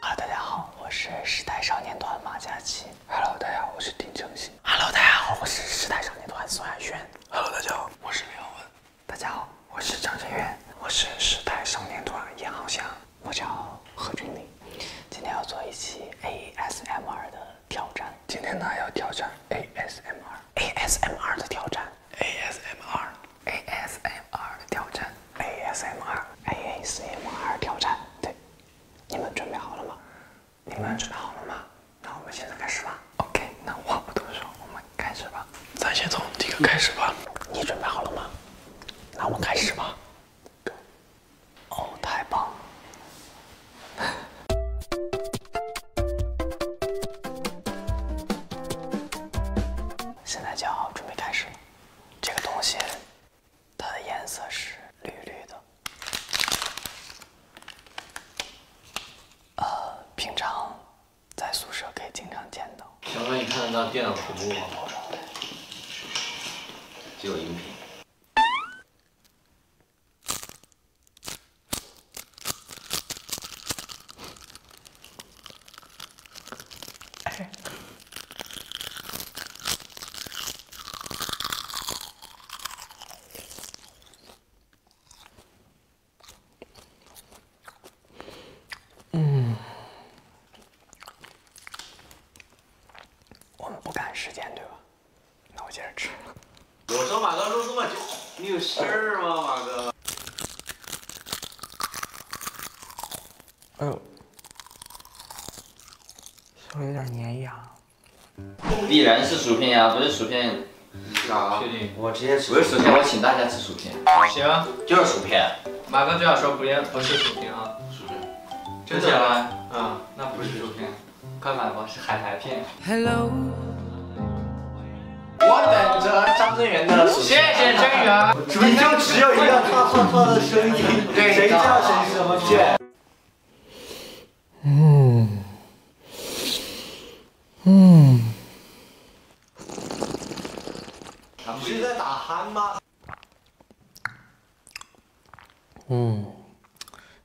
哈，大家好，我是时代少年团马嘉祺。Hello，大家好，我是丁程鑫。Hello，大家好，我是时代少年团宋亚轩。Hello，大家好，我是李文。大家好，我是张真源。我是时代少年团严浩翔。我叫何浚铭。今天要做一期 ASMR 的。挑战，今天呢，要挑战 ASMR，ASMR 的挑战，ASMR，ASMR 挑战，ASMR，ASMR 挑战，对，你们准备好了吗？你们准备好了吗？那我们现在开始吧。OK，那话不多说，我们开始吧。咱先从第一个开始吧。你准备好了吗？那我们开始吧。对。哦，太棒了。现在就要准备开始。了。这个东西，它的颜色是绿绿的。呃，平常在宿舍可以经常见到。小哥，你看得到电脑屏幕吗？只有音频。嗯，我们不赶时间，对吧？那我接着吃。我说马哥说这么久，你有事儿吗，马哥？哎呦，手有点粘牙。必然是薯片呀，不是薯片。确定？我直接吃。不是薯片，我请大家吃薯片。行。就是薯片。马哥最好说不，要，不是薯片啊。薯片。真的？嗯。那不是薯片。快买吧，是海苔片。Hello，我等着张真源的。谢谢真源，你就只有一个他做他的声音，对谁叫谁什么去？嗯，嗯，们是在打鼾吗？嗯，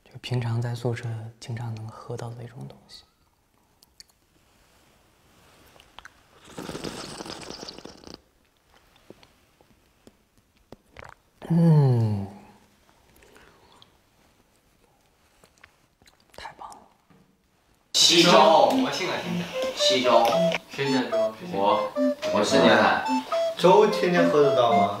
就平常在宿舍经常能喝到的那种东西。嗯，太棒了！西粥，我进来听西天天粥，我我是聂海。粥天天喝得到吗？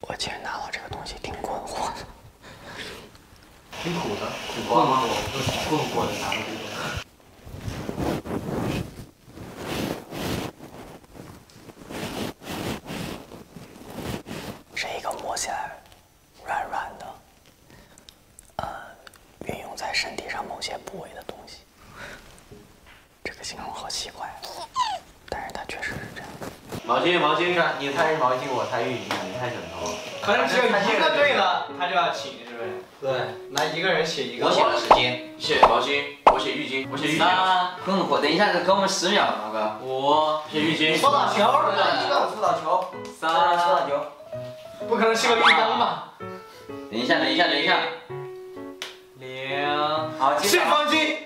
我今天拿到这个东西挺困惑的，挺苦的，苦瓜吗？我都困惑的拿到这个。是一个摸起来软软的，呃，运用在身体上某些部位的东西。这个形容好奇怪。但是他确实是这样毛巾，毛巾上，你猜是毛巾，我猜浴巾，你猜枕头。可能只有一个对了，他就要请，是不是？对，来一个人写一个。我写的是巾，写毛巾，我写浴巾，我写浴巾。啊，更火！等一下子，给我们十秒，马哥。五，写浴巾。搓澡球，一个搓澡球。三，搓澡球。不可能是个浴缸吧？等一下，等一下，等一下。零，好，是毛巾。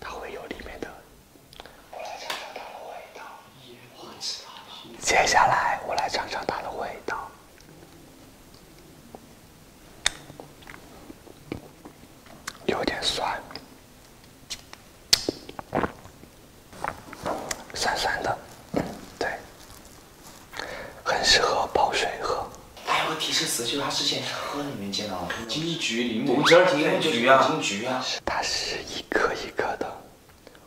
它会有里面的。我来尝尝它的味道。接下来我来尝尝它的味道，有点酸，酸酸的，对，很适合泡水喝。哎，我提示词就他之前喝。金桔、柠檬、金桔啊，金啊，它是一颗一颗的，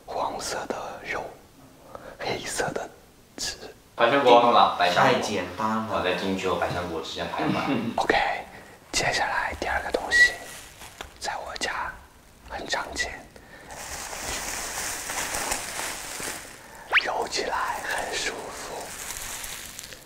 黄色的肉，黑色的籽。百香果，太简单了，在金桔和百香果之间徘徊。OK，接下来第二个东西，在我家很常见，揉起来很舒服。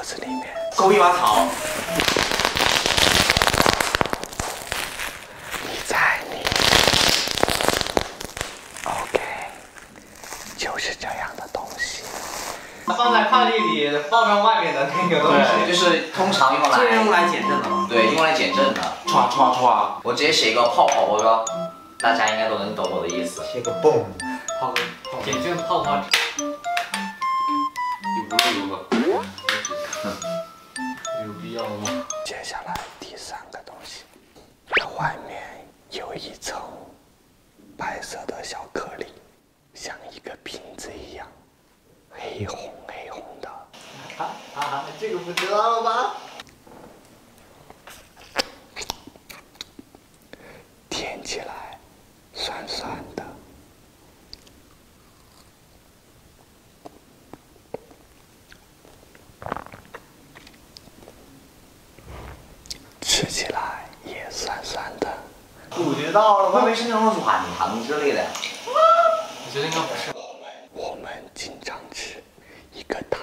盒子里面。勾一把草，你在你，OK，就是这样的东西。放在快递里包装外面的那个东西，就是通常用来用来减震的。对，用来减震的。唰唰唰，我直接写一个泡泡包装，大家应该都能懂我的意思。写个泵，泡个泡减震泡泡。有必要吗？接下来第三个东西，它外面有一层白色的小颗粒，像一个瓶子一样，黑红黑红的。哈哈，这个不知道了吧？舔起来酸酸的。吃起来也酸酸的，感觉到了吗？会不会是那种软糖之类的？我觉得应该不是。我们我们经常吃一个糖，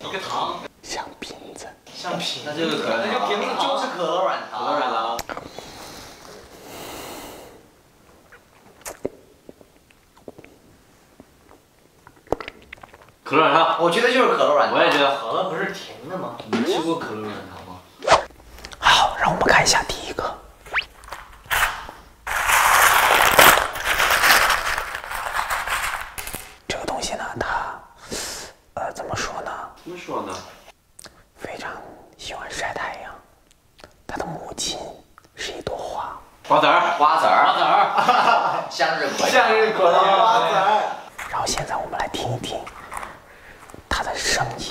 一个糖像瓶子，像瓶子，那就是可乐，那就瓶子，就是可乐软糖，可乐软糖。可乐软糖，我觉得就是可乐软糖。我也觉得，可乐不是甜的吗？你吃过可乐软糖吗？好，让我们看一下第一个。这个东西呢，它，呃，怎么说呢？怎么说呢？非常喜欢晒太阳，他的母亲是一朵花，瓜子儿，瓜子儿，花籽儿，向日葵，向日葵，花籽儿。然后现在我们来听一听他的声音。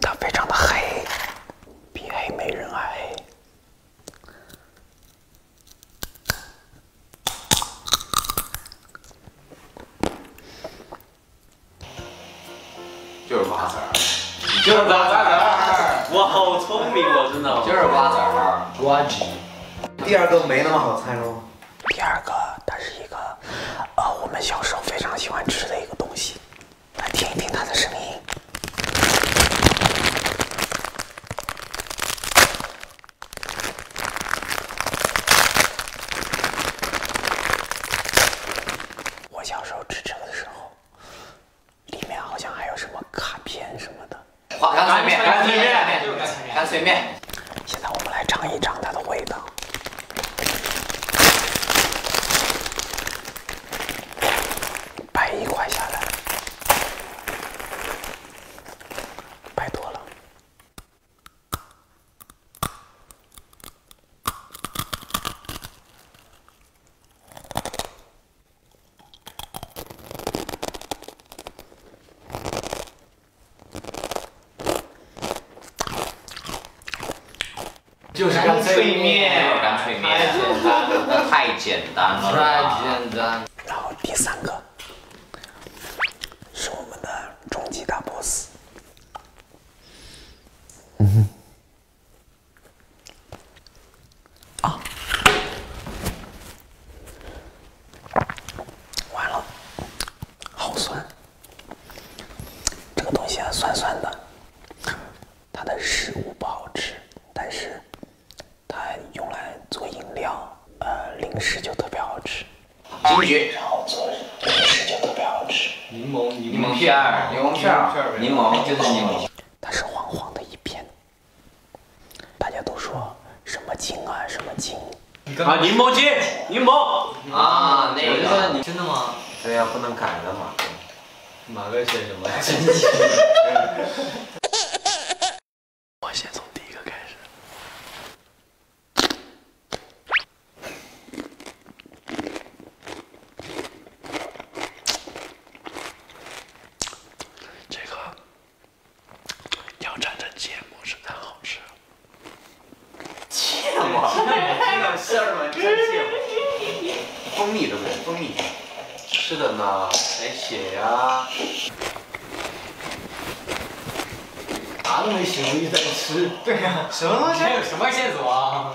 它非常的黑，比黑美人矮，就是瓜子儿，就是瓜子儿。我好聪明哦，真的。就是瓜子儿，瓜子。第二个没那么好猜喽。第二个，它是一个呃，我们小时候非常喜欢吃的一个东西。来听一听它的声音。我小时候吃这个的时候，里面好像还有什么卡片什么的。干脆面，干脆面，干脆面。现在我们来尝一尝它的味道。掰一块下来，拜托了。就是干脆面，干脆面，太简单了，太简单。然后第三个是我们的终极大 boss。嗯哼。啊！完了，好酸。这个东西啊，酸酸的，它的食物不好吃，但是它用来做饮料、呃，零食就特别好吃。金桔，然后做零食就特别好吃。柠檬，柠檬片儿，柠檬片儿，柠檬就是柠檬。它是黄黄的一片。大家都说什么金啊，什么金。啊，柠檬鸡，柠檬啊，那个你真的吗？对呀，不能改了嘛？马哥选什么？我先从第一个开始。这个要蘸着芥末，吃才好吃。切嘛！那么鸡蛋馅儿吗？真切！蜂蜜对不对？蜂蜜吃的呢？贫血呀，啥都没写，我直在吃。对呀，什么东西？还有什么线索？啊？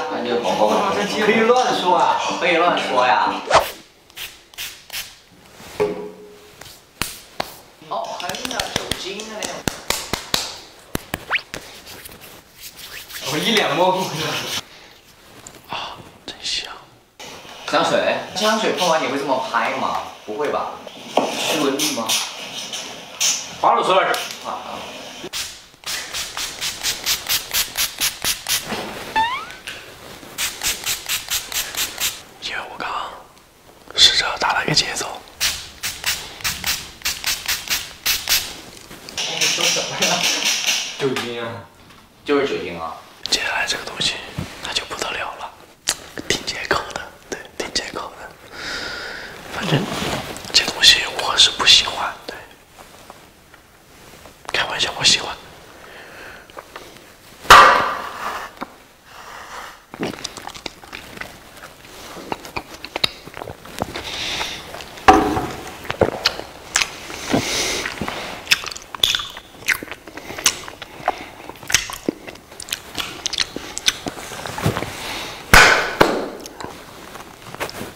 可以乱说啊，可以乱说呀。哦，好狠啊，酒精的那啊！我一脸懵。啊，真香。香水？香水喷完你会这么拍吗？不会吧？驱蚊液吗？花露水？啊。因为我刚刚试着打了一个节奏。你说什么呀？酒精啊，就是酒精啊。接下来这个东西那就不得了了，挺解渴的，对，挺解渴的。反正这东西我是不喜欢，对。开玩笑，我喜欢。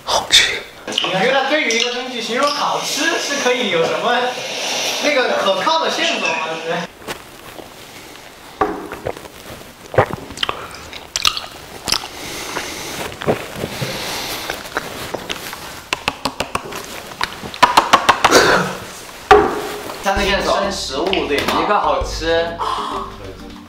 好吃。你觉得对于一个东西形容好吃是可以有什么那个可靠的线索吗？就是像那些生食物对吗？一个好吃。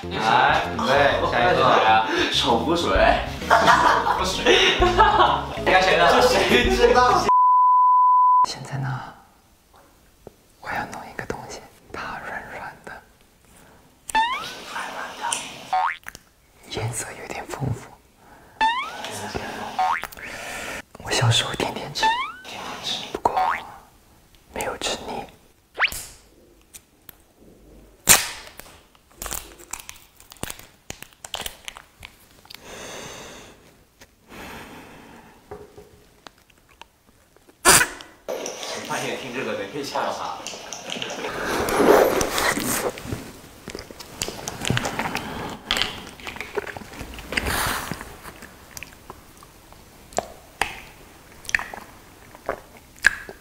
来，备下一个是谁啊？手扶水，手部水，谁了？这谁知道？现在呢？我要弄一个东西，它软软的，软软的，颜色有点丰富。我小时候天天吃，天天吃，不过没有吃腻。发现听这个没被吓到哈。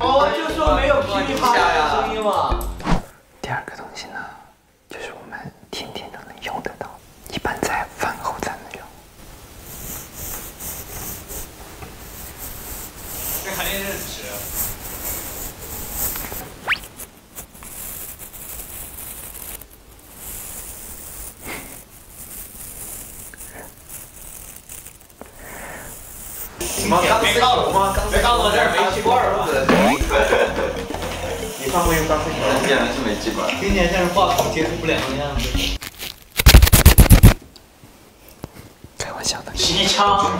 我就说没有噼里啪啦的声音嘛。第二个东西呢，就是我们天天都能用得到，一般在饭后才能用。看电视吃。什么？没高楼吗？没到楼，这是煤气罐，是你是？你用钢丝球自己家，是煤气罐。听起来像是话筒接触不良的样子。开玩笑的。枪？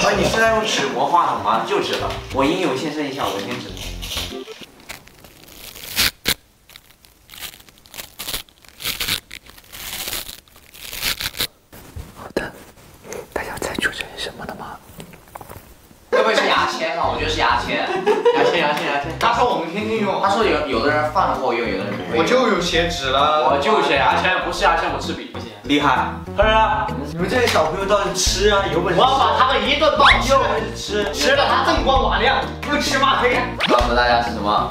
开你是在用纸磨话筒吗？就纸了。我英勇献身一下，我先纸。好的，大家猜出这是什么了吗？会不会是牙签啊？我觉得是牙签。牙签，牙签，牙签。他说我们天天用。他说有有的人放后用，有的人。不会。我就有写纸了。我就写牙签，不是牙签，我吃笔。不行。厉害。可是，你们这些小朋友倒是吃啊，有本事。我要把他们一顿暴揍，吃吃吃了，他锃光瓦亮，不吃骂黑。告诉大家是什么？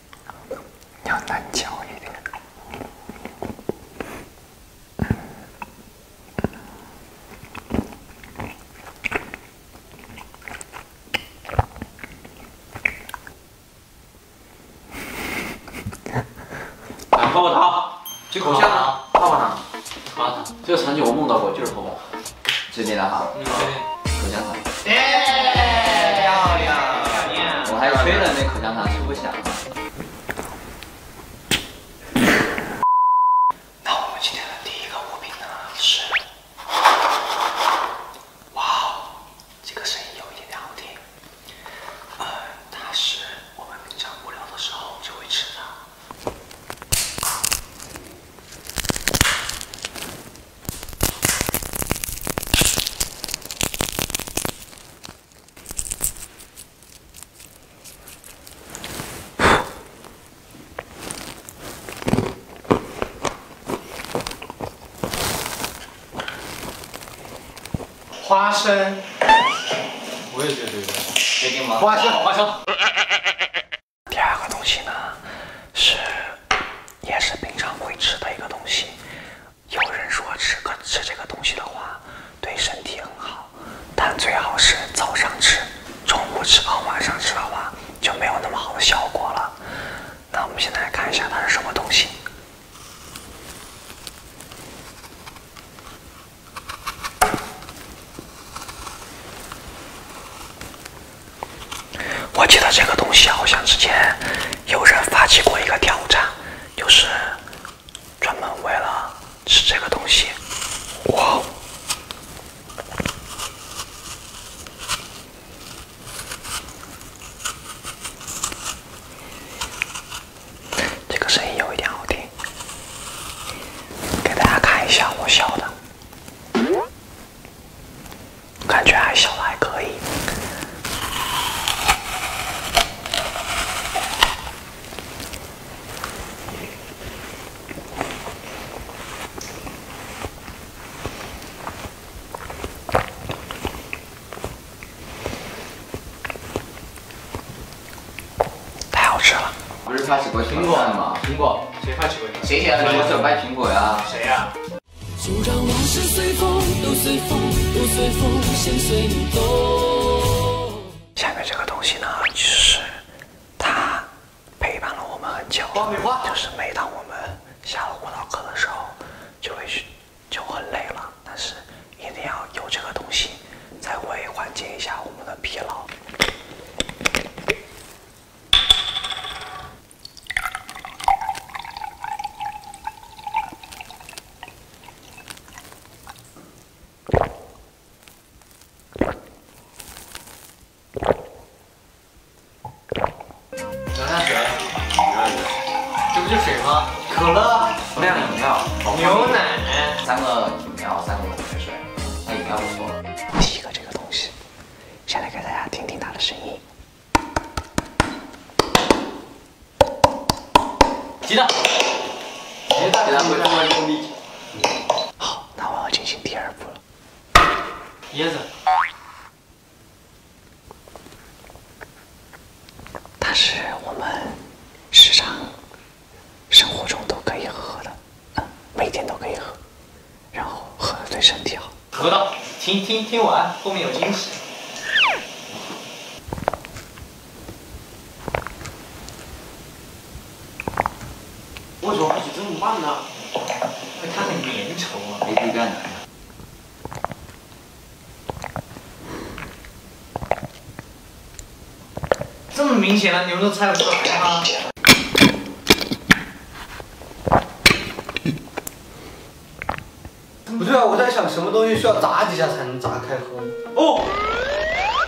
要难嚼一点。泡泡糖，口香糖，泡泡糖，泡泡糖。这个场景我梦到过，就是泡泡。最近的哈，嗯，近，果糖。耶，漂亮！我还吹了那口香糖，吹不响。那我们今天的第一个物品呢？是，哇，哦，这个声音有一点点好听。呃，它是我们平常无聊的时候就会吃的。花生，我也觉得，决定吗？花生，花生。第二个东西呢，是也是平常会吃的一个东西。有人说吃个吃这个东西的话，对身体很好，但最好是早上吃，中午吃饱，晚上吃的话就没有那么好的效果了。那我们现在来看一下它是什么东西。我记得这个东西好像之前有人发起过一个挑战，就是专门为了吃这个东西。哇这个声音有一点好听，给大家看一下我笑的。感觉还小，还可以。太好吃了。不是发起过苹果的吗？苹果谁？发起谁？谁？谁？我想掰苹果呀？谁呀？就让往事随随随随风，风，风，都都你动。下面这个东西呢，就是它陪伴了我们很久，就是每当我们下了舞蹈课的时候，就会就很累了，但是一定要有这个东西，才会缓解一下我们的疲劳。早上好，这不就水吗？可乐、能量饮料、牛奶，三个饮料，三个矿泉水。那饮料说了，第一个这个东西，先来给大家听听它的声音。鸡蛋。好，那我要进行第二步了。椰子。它是我们时常生活中都可以喝的，每天都可以喝。然后喝对身体好。喝到，听听听完，后面有惊喜。为什么喝起这么慢呢？因为它很粘稠啊。没事干奶。这么明显了，你们都猜不吗？不对啊，我在想什么东西需要砸几下才能砸开喝？哦，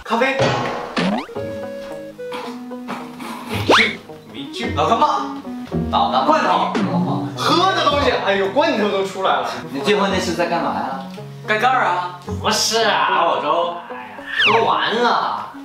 咖啡。没去，没去。老干妈，老干罐头，喝的东西。哎呦，罐头都出来了。你最后那次在干嘛呀？盖盖儿啊？不是啊，粥。哎呀，喝完了。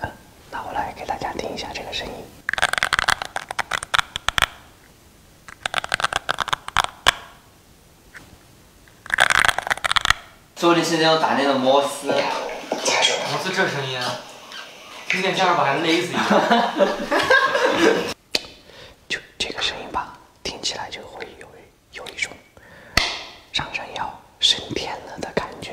嗯，那我来给大家听一下这个声音。做是那种打那种摩斯，摩斯这声音啊，有点像把孩勒死 a 就这个声音吧，听起来就会有有一种让人要升天了的感觉。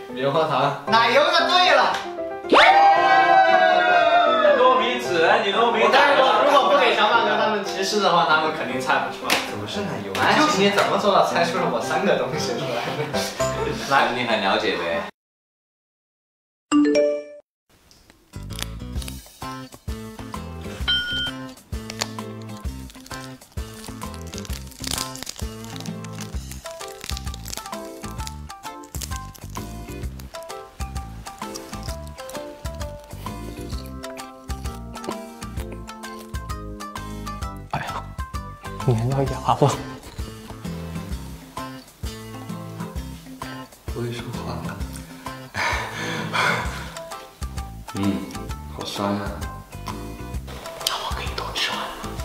棉花糖，奶油的。对了，糯米纸，你都没带我如果不给小马哥他们提示的话，他们肯定猜不出来。怎么是奶油？啊？哎，你怎么做到猜出了我三个东西出来的？那你很了解呗。哎呀，你还要牙巴。不会说话了。嗯，好酸呀。那我给你多吃完。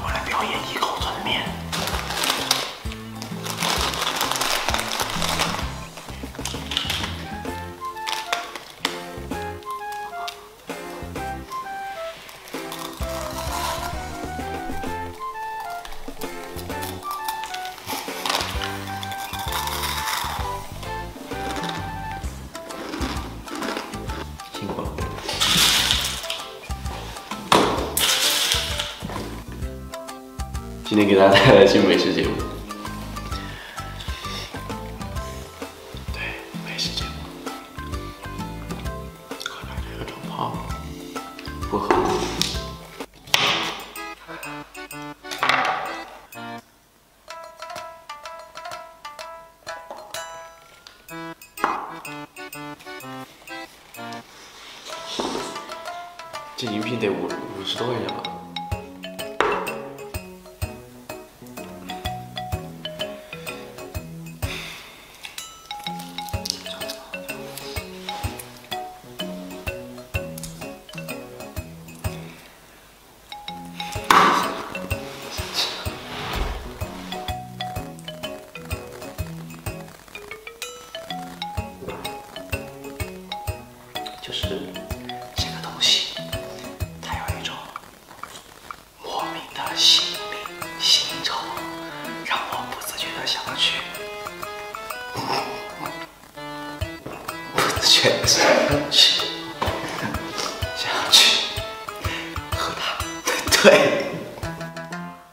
我来表演一口吞面。辛苦了！今天给大家带来新美食节目。对，美食节目。看看这个长胖不好。这饮品得五五十多块钱吧。就是这个东西，它有一种莫名的心引心吸让我不自觉的想要去。肚子全去，想要去喝汤，对，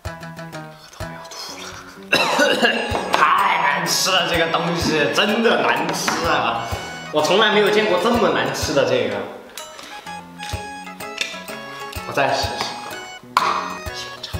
喝汤要吐了，太难吃了，这个东西真的难吃啊！我从来没有见过这么难吃的这个，我再试试，先尝